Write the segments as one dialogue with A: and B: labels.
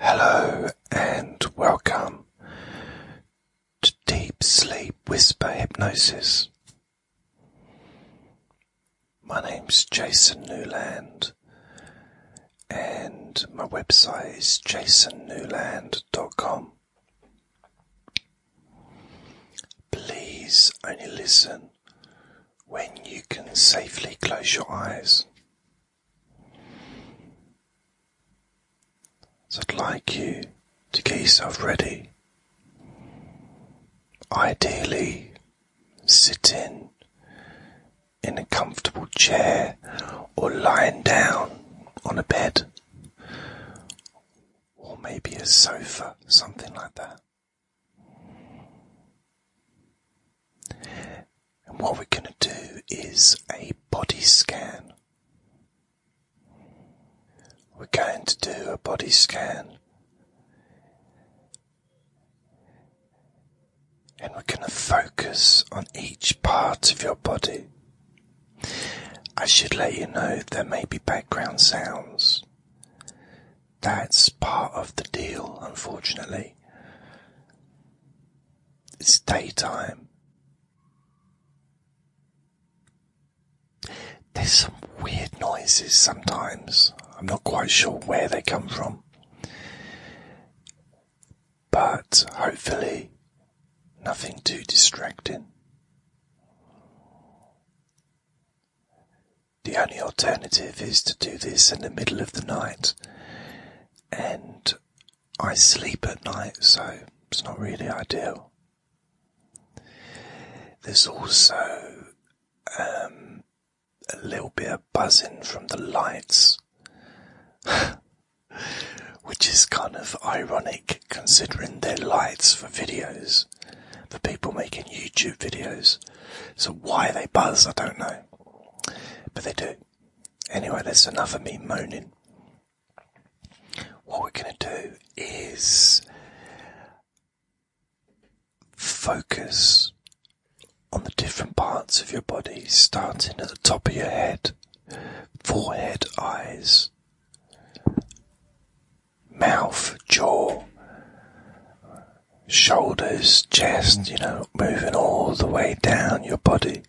A: Hello and welcome to Deep Sleep Whisper Hypnosis. My name's Jason Newland and my website is jasonnewland.com. Please only listen when you can safely close your eyes. So I'd like you to get yourself ready. Ideally, sit in in a comfortable chair or lying down on a bed or maybe a sofa, something like that. And what we're going to do is a body scan. We're going to do a body scan. And we're going to focus on each part of your body. I should let you know there may be background sounds. That's part of the deal, unfortunately. It's daytime. There's some weird noises sometimes. I'm not quite sure where they come from. But hopefully, nothing too distracting. The only alternative is to do this in the middle of the night and I sleep at night, so it's not really ideal. There's also um, a little bit of buzzing from the lights, which is kind of ironic considering they're lights for videos, for people making YouTube videos. So why they buzz, I don't know, but they do. Anyway, that's enough of me moaning. What we're going to do is focus on the different parts of your body, starting at the top of your head, forehead, eyes, mouth, jaw, shoulders, chest, you know, moving all the way down your body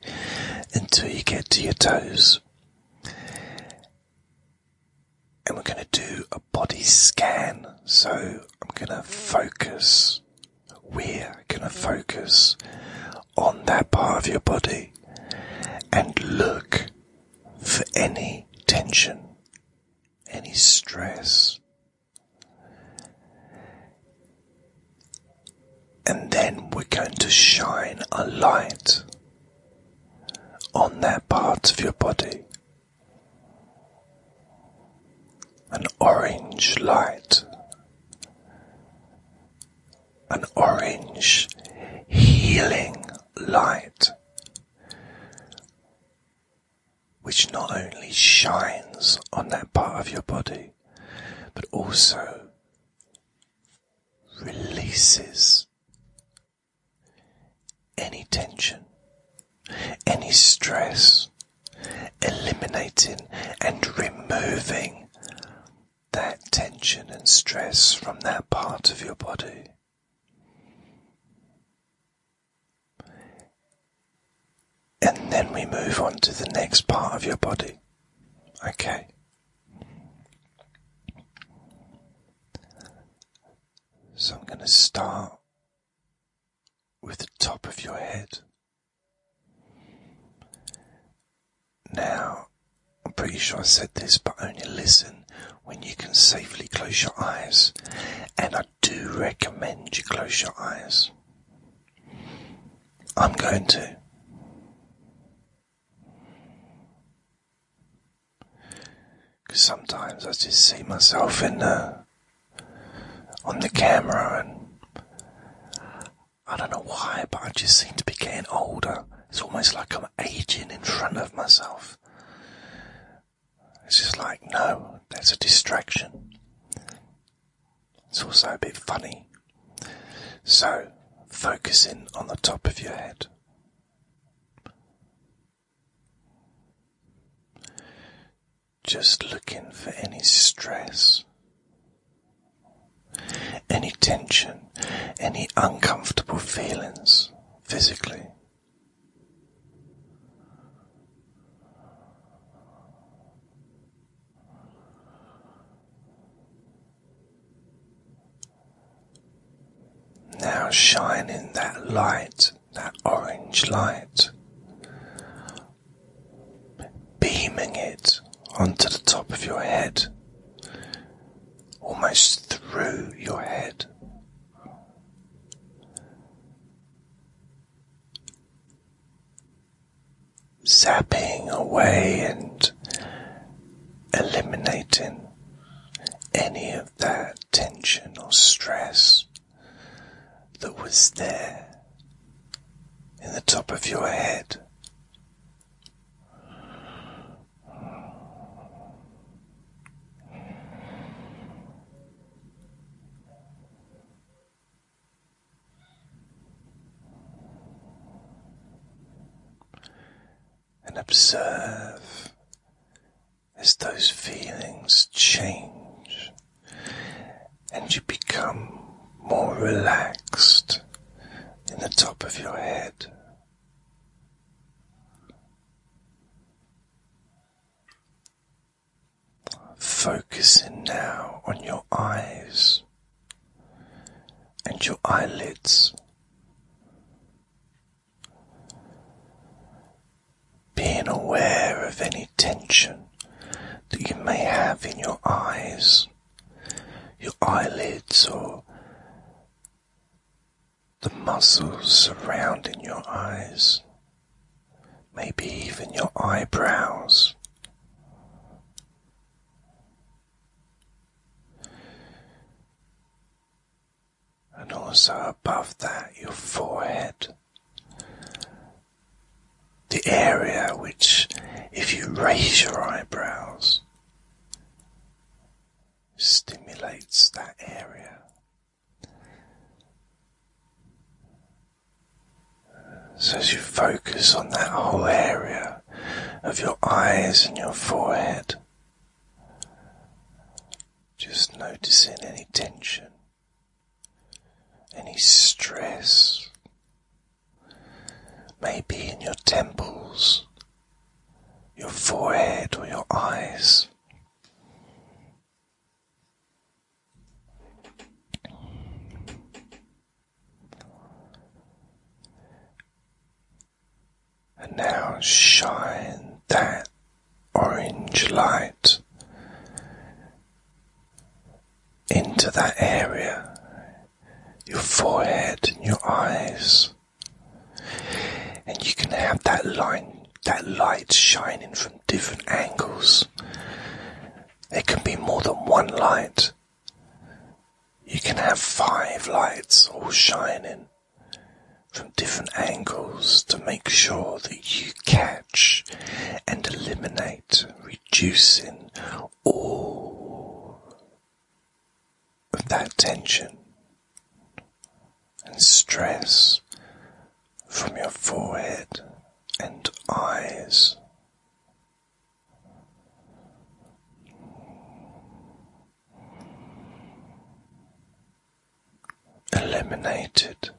A: until you get to your toes. And we're going to do a body scan. So I'm going to focus, we're going to focus on that part of your body and look for any tension, any stress, and then we're going to shine a light on that part of your body. An orange light, an orange healing light, which not only shines on that part of your body but also releases any tension, any stress, eliminating and removing that tension and stress from that part of your body and then we move on to the next part of your body. Okay. So I'm going to start with the top of your head. Now, I'm pretty sure I said this, but only listen when you can safely close your eyes. And I do recommend you close your eyes. I'm going to. Because sometimes I just see myself in the on the camera, and I don't know why, but I just seem to be getting older. It's almost like I'm aging in front of myself. It's just like no, that's a distraction. It's also a bit funny. So, focusing on the top of your head. Just looking for any stress, any tension, any uncomfortable feelings physically. Now shining that light, that orange light, beaming it onto the top of your head, almost through your head zapping away and eliminating any of that tension or stress that was there in the top of your head. And observe as those feelings change and you become more relaxed in the top of your head. Focusing now on your eyes and your eyelids being aware of any tension that you may have in your eyes, your eyelids, or the muscles surrounding your eyes, maybe even your eyebrows and also above that, your forehead. The area which, if you raise your eyebrows, stimulates that area. So, as you focus on that whole area of your eyes and your forehead, just noticing any tension, any stress, maybe in your temples, your forehead, or your eyes. And now shine that orange light into that area, your forehead and your eyes. And you can have that light shining from different angles. There can be more than one light you can have five lights all shining from different angles to make sure that you catch and eliminate, reducing all of that tension and stress from your forehead and eyes eliminated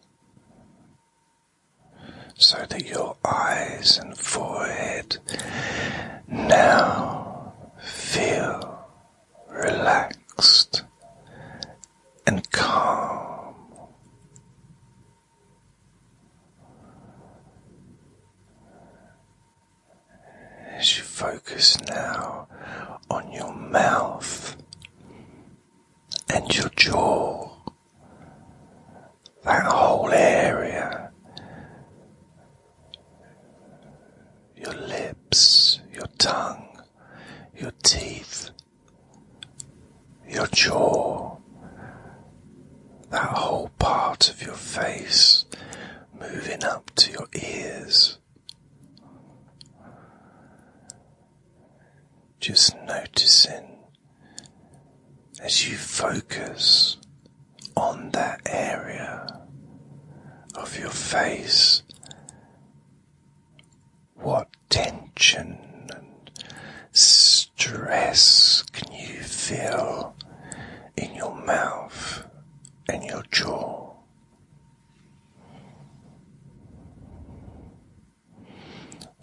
A: so that your eyes and forehead now feel relaxed and calm. As you focus now on your mouth and your jaw, that whole area, your lips, your tongue, your teeth, your jaw that whole part of your face moving up to your ears. Just noticing as you focus on that area of your face what tension and stress can you feel in your mouth and your jaw?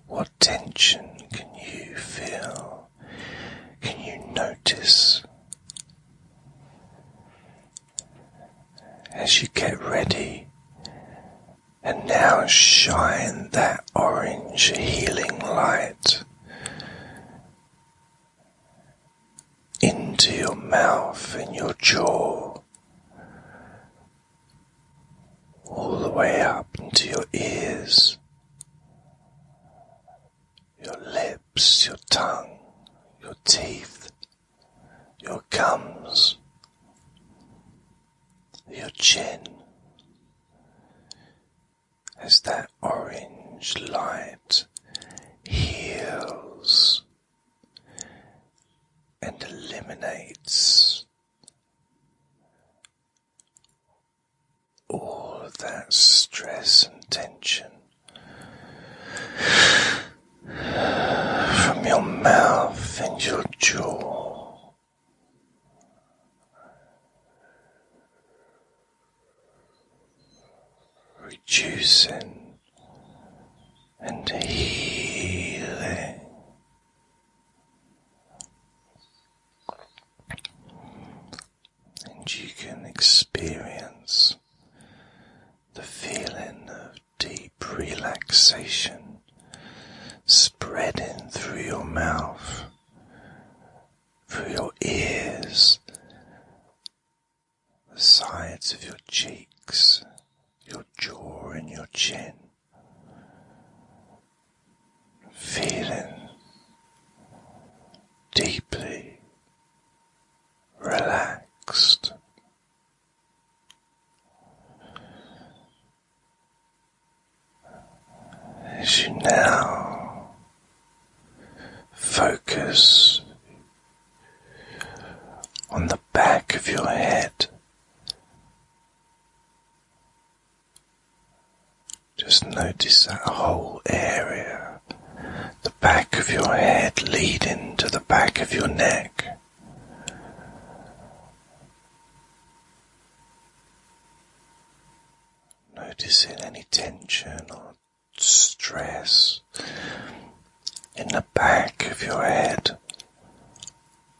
A: What tension can you feel? Can you notice as you get ready? And now shine that orange healing light into your mouth and your jaw, all the way up into your ears, your lips, your tongue, your teeth, your gums, your chin, as that orange light heals and eliminates all that stress and tension from your mouth and your jaw reducing and healing. And you can experience the feeling of deep relaxation spreading through your mouth through your ears, the sides of your cheeks, your jaw, and your chin. Feeling deeply relaxed as you now focus on the back of your head. Just notice that whole area, the back of your head leading to the back of your neck. Noticing any tension or stress in the back of your head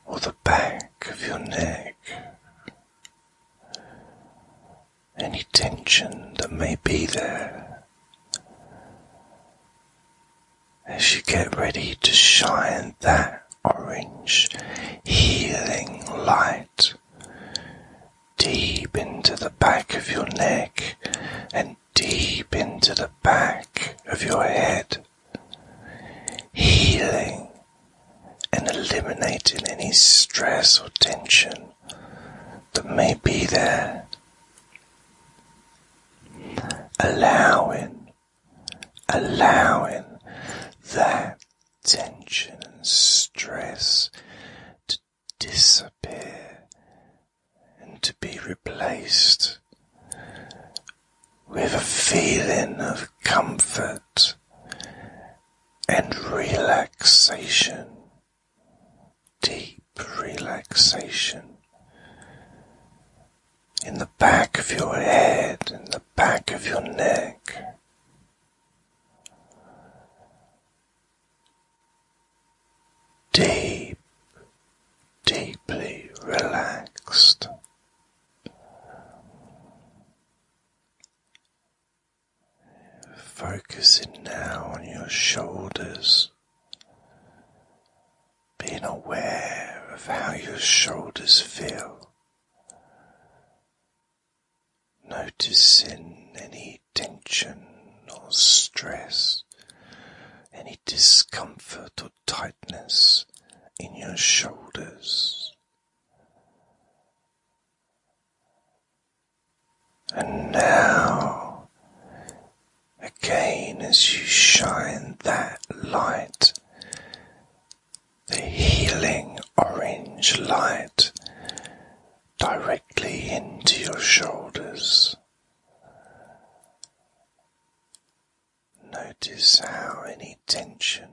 A: or the back of your neck. Any tension that may be there as you get ready to shine that orange healing light deep into the back of your neck and deep into the back of your head, healing and eliminating any stress or tension that may be there. Allowing, allowing that tension and stress to disappear and to be replaced with a feeling of comfort and relaxation, deep relaxation in the back of your head, in the back of your neck, deep, deeply relaxed. Focusing now on your shoulders, being aware of how your shoulders feel Noticing any tension or stress, any discomfort or tightness in your shoulders. And now, again, as you shine that light, the healing orange light directly into your shoulders. Notice how any tension,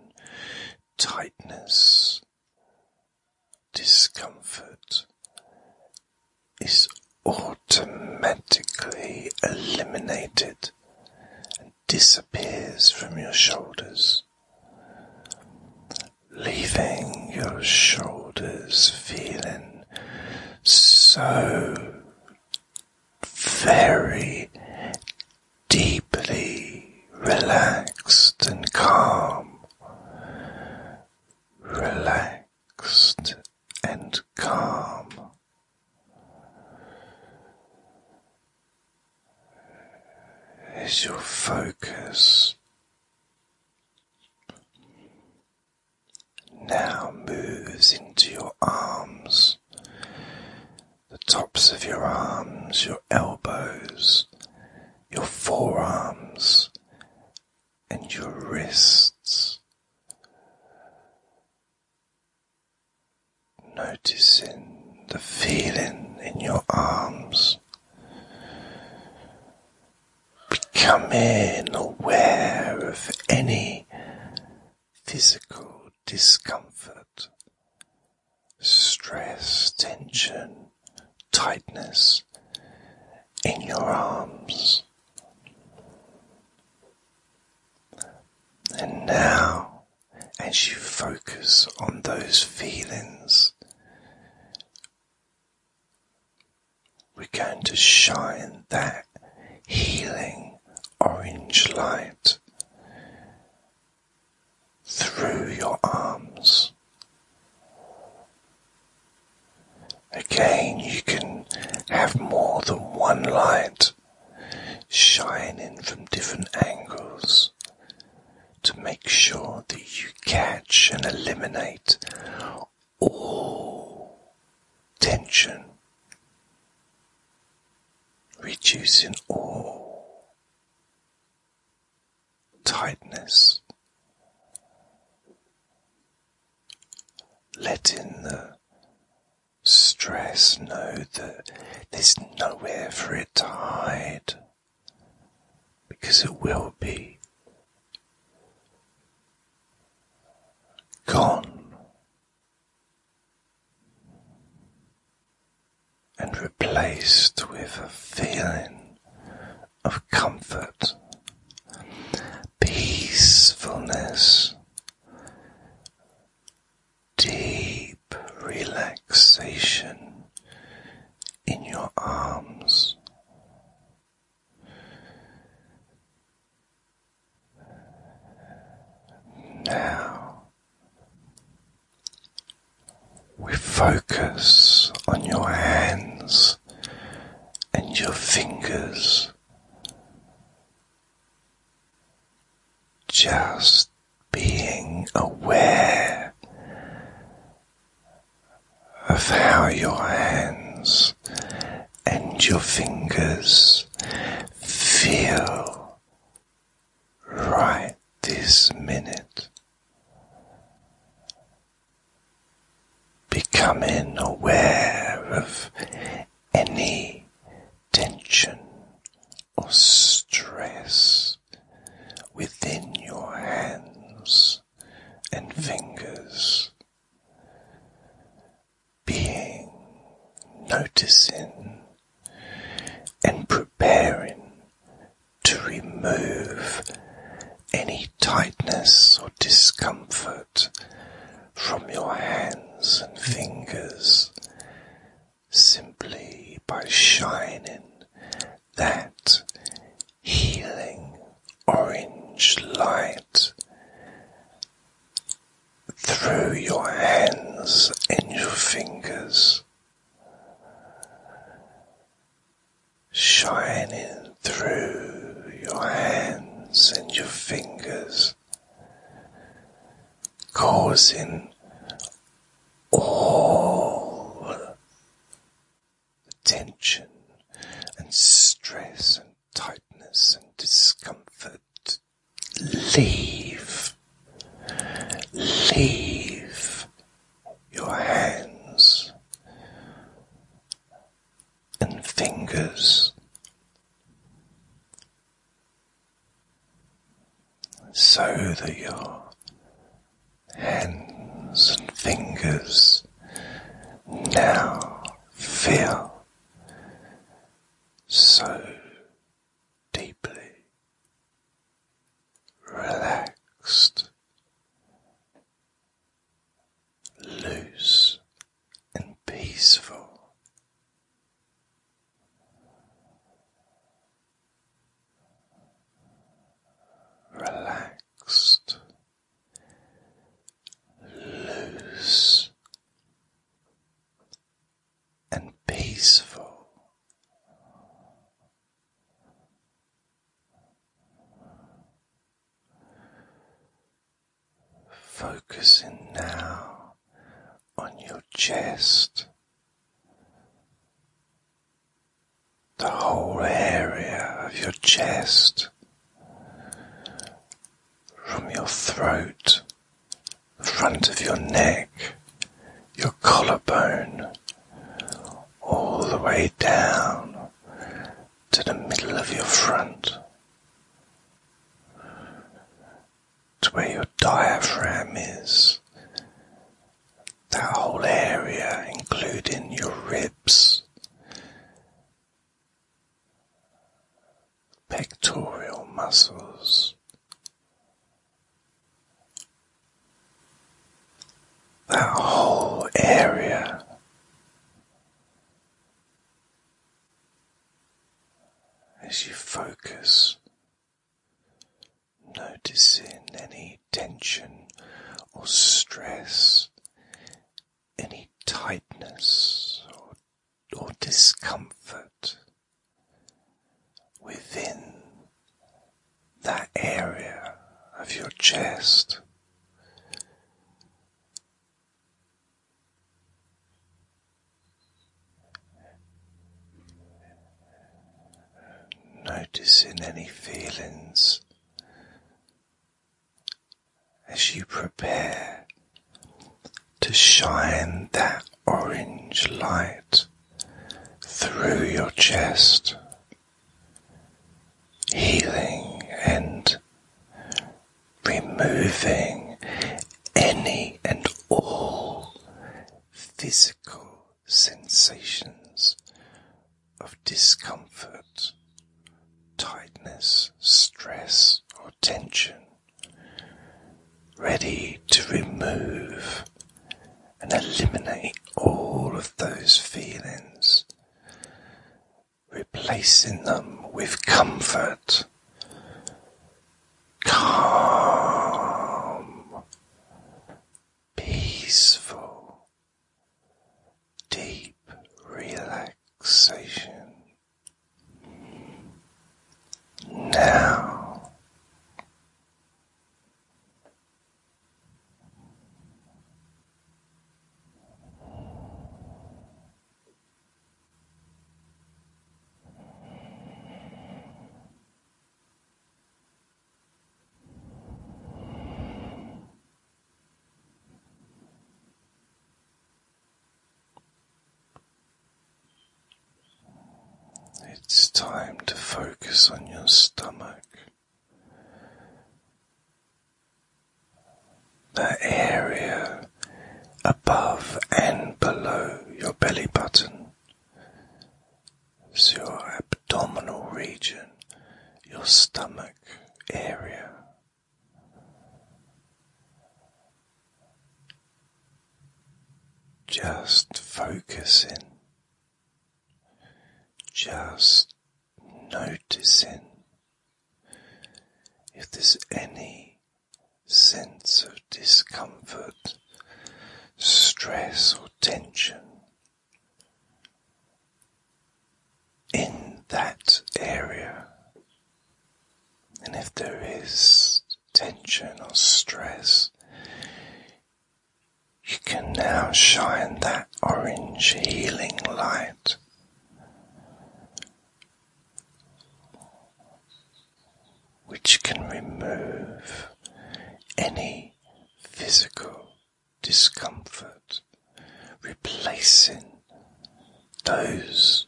A: tightness, discomfort is automatically eliminated and disappears from your shoulders leaving your shoulders feeling so very deeply relaxed and calm, relaxed and calm. As your focus now moves into your arms, the tops of your arms, your elbows, your forearms, and your wrists. Noticing the feeling in your arms. Becoming aware of any physical discomfort, stress, tension, tightness in your arms. And now, as you focus on those feelings, we're going to shine that healing orange light through your arms. Again, you can have more than one light shining from different angles to make sure that you catch and eliminate all tension, reducing all tightness, letting the stress know that there's nowhere for it to hide because it will be gone and replaced with a feeling of comfort, peacefulness, deep relaxation in your arms. Now we focus on your hands and your fingers. Just being aware of how your hands and your fingers feel right this minute. Becoming aware of any tension or stress within your hands and fingers. Being, noticing, and preparing to remove any tightness or discomfort from your hands and fingers simply by shining that healing orange light through your hands and your fingers, shining through your hands and your fingers, causing all the tension and stress and tightness and discomfort. Leave. Leave your hands and fingers. So that your hands and fingers now feel so deeply relaxed, loose and peaceful. Relax loose, and peaceful. Focusing now on your chest, the whole area of your chest, from your throat, the front of your neck, your collarbone, all the way down to the middle of your front, to where your diaphragm is that whole area, including your ribs, pectoral muscles, that whole area. As you focus, noticing any tension or stress, any tightness or, or discomfort within that area of your chest. Noticing any feelings as you prepare to shine that orange light through your chest, healing and removing any and all physical sensations of discomfort, tightness, stress, or tension, ready to remove and eliminate all of those feelings, replacing them with comfort, calm, peaceful, deep relaxation. Now it's time to focus on your stomach. That area above and below your belly button. is your abdominal region, your stomach area. Just focusing, just noticing if there's any sense of discomfort, stress, or tension in that area. And if there is tension or stress, you can now shine that orange healing light. Which can remove any physical discomfort, replacing those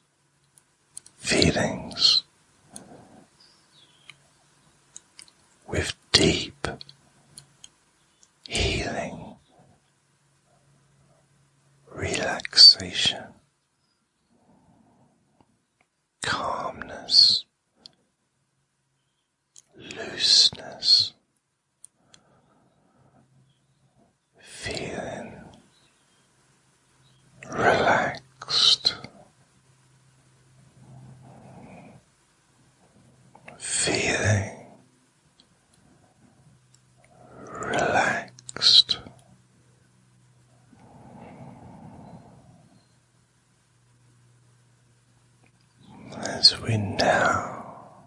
A: feelings with deep healing relaxation, calmness, looseness feeling relaxed, feeling relaxed. As we now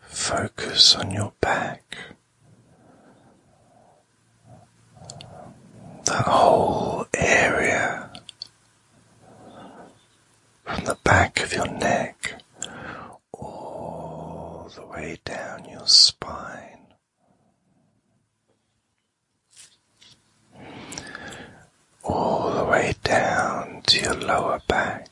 A: Focus on your back, that whole area from the back of your neck all the way down your spine all the way down to your lower back,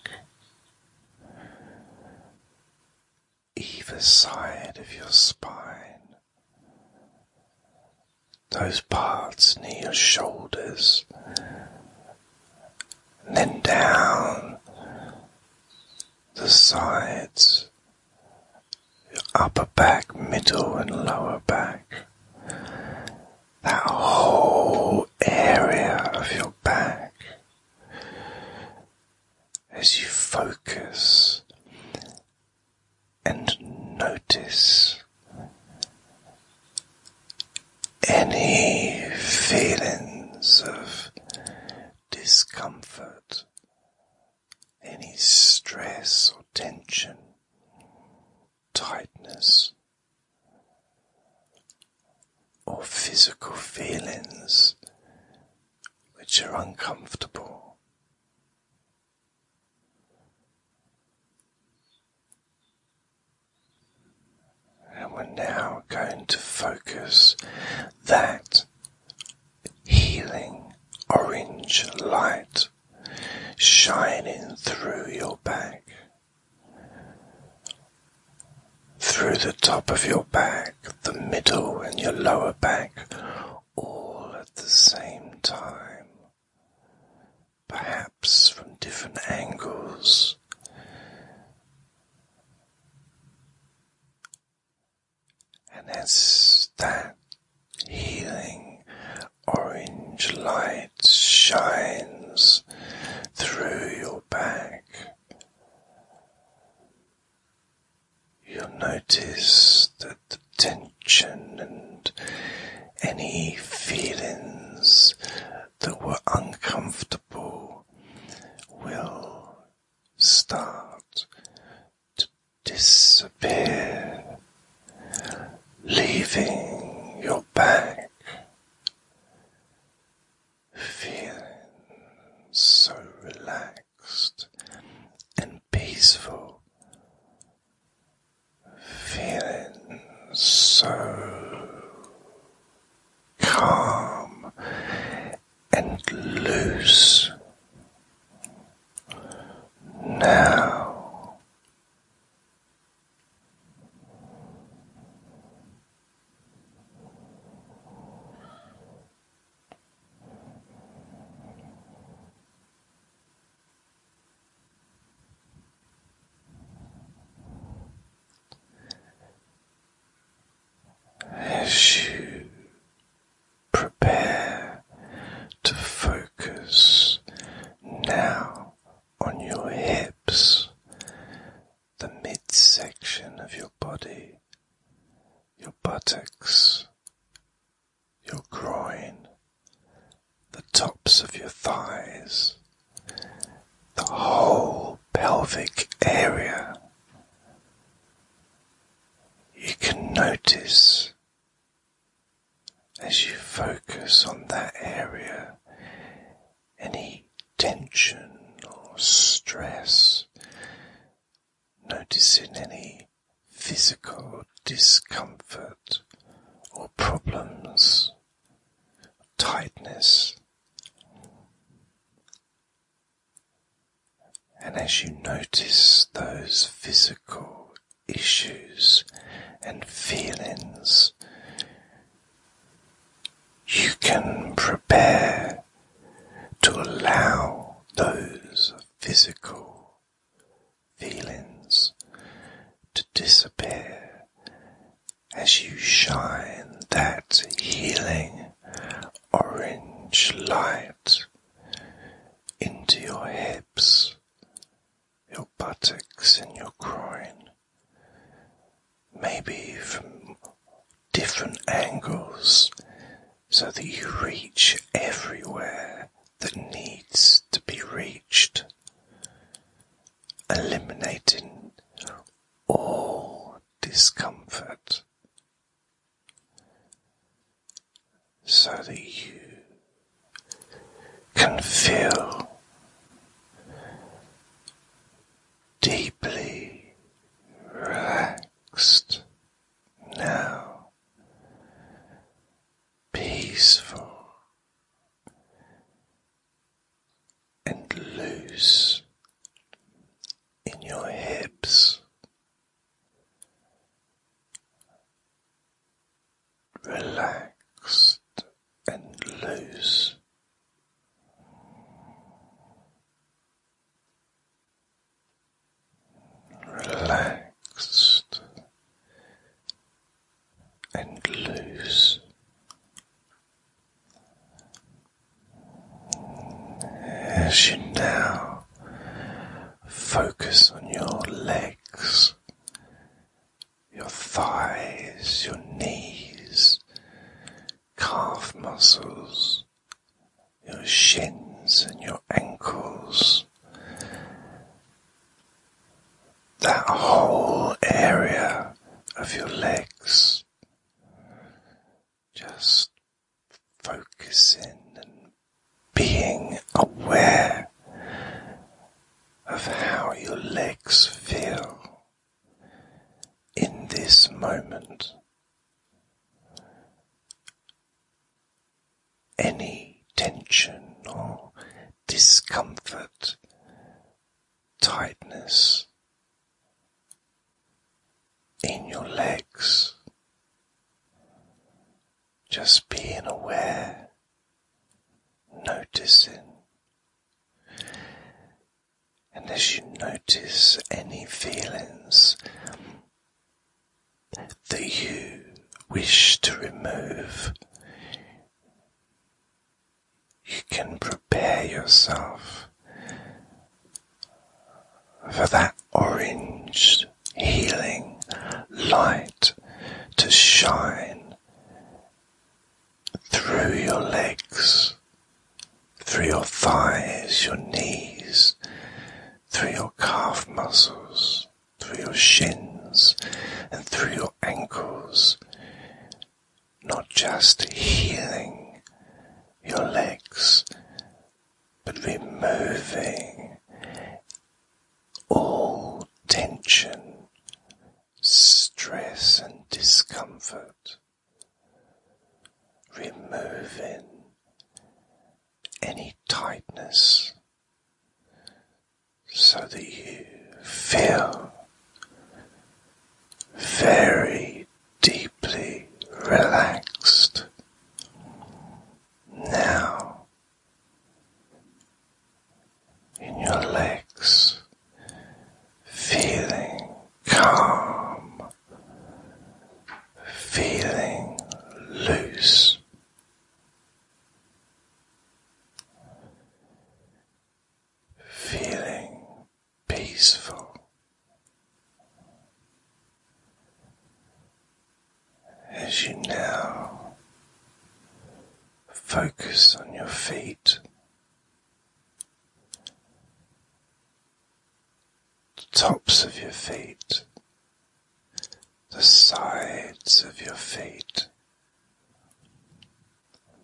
A: either side of your spine, those parts near your shoulders, and then down the sides, your upper back, middle, and lower back that whole area of your back as you focus and notice any feelings of discomfort, any stress or tension tightness or physical feelings which are uncomfortable. And we're now going to focus that healing orange light shining through your back through the top of your back, the middle, and your lower back, all at the same time, perhaps from different angles. And as that healing orange light shines through your back. You'll notice that the tension and any feelings that were uncomfortable will start to disappear, leaving your back feeling so relaxed and peaceful, feeling so calm and loose. Now as you prepare to focus now on your hips, the midsection of your body, your buttocks, your groin, the tops of your thighs, the whole pelvic area. You can notice as you focus on that area, any tension or stress, noticing any physical discomfort or problems, tightness. And as you notice those physical issues and feelings, you can prepare to allow those physical feelings to disappear as you shine that healing orange light into your hips, your buttocks, and your groin maybe from different angles, so that you reach everywhere that needs to be reached, eliminating all discomfort, so that you can feel deeply relaxed now, peaceful and loose in your hips. Relaxed and loose. Relaxed and loose. As you now focus on your legs your thighs, your knees, calf muscles, your shins, and your ankles. That whole area of your legs. Just focusing and being aware of how your legs feel in this moment. Any tension or discomfort, tightness in your legs, just being aware, noticing, and as you notice any feelings that you wish to remove, you can prepare yourself for that orange healing light to shine through your legs, through your thighs, your knees, through your calf muscles, through your shins, and through your ankles. Not just healing your legs, but removing all tension, stress, and discomfort removing any tightness so that you feel very deeply relaxed. Now, in your legs, feeling calm, feeling loose. Feeling peaceful, as you now focus on your feet, the tops of your feet, the sides of your feet,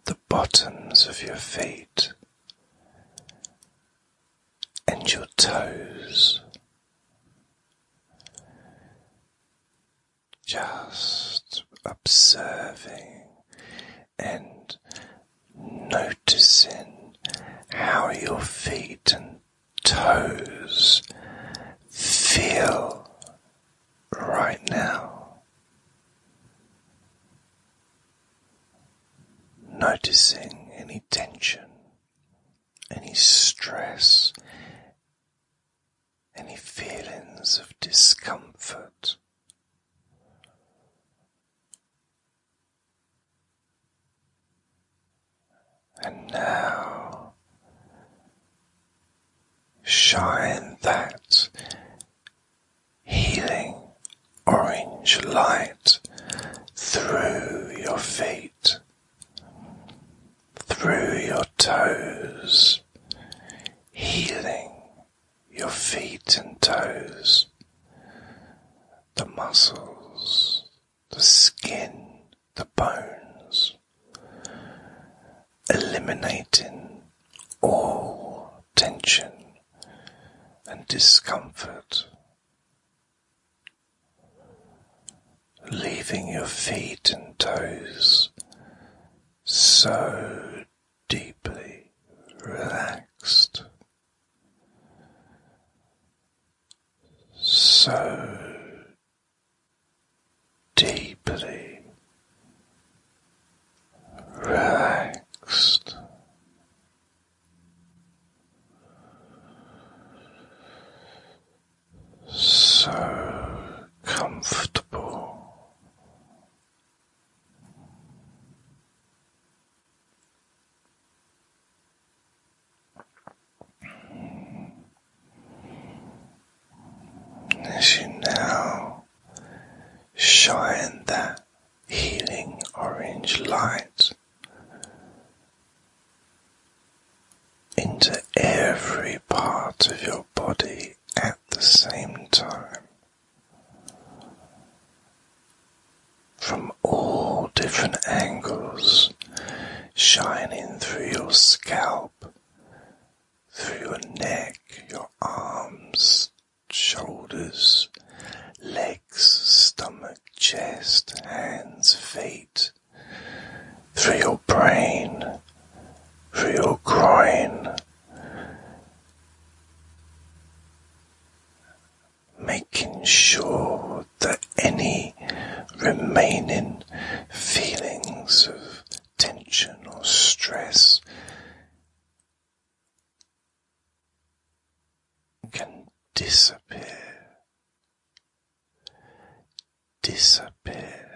A: the bottoms of your feet, and your toes. Just observing and noticing how your feet and toes feel right now. Noticing any tension, any stress, any feelings of discomfort and now shine that healing orange light through your feet, through your toes, healing your feet and toes, the muscles, the skin, the bones, eliminating all tension and discomfort. Leaving your feet and toes so deeply relaxed, so deeply relaxed. So comfortable as you now shine that healing orange light into every part of your body at the same time from all different angles shining through your scalp, through your neck, your arms, shoulders, legs, stomach, chest, hands, feet, through your brain, through your groin making sure that any remaining feelings of tension or stress can disappear, disappear.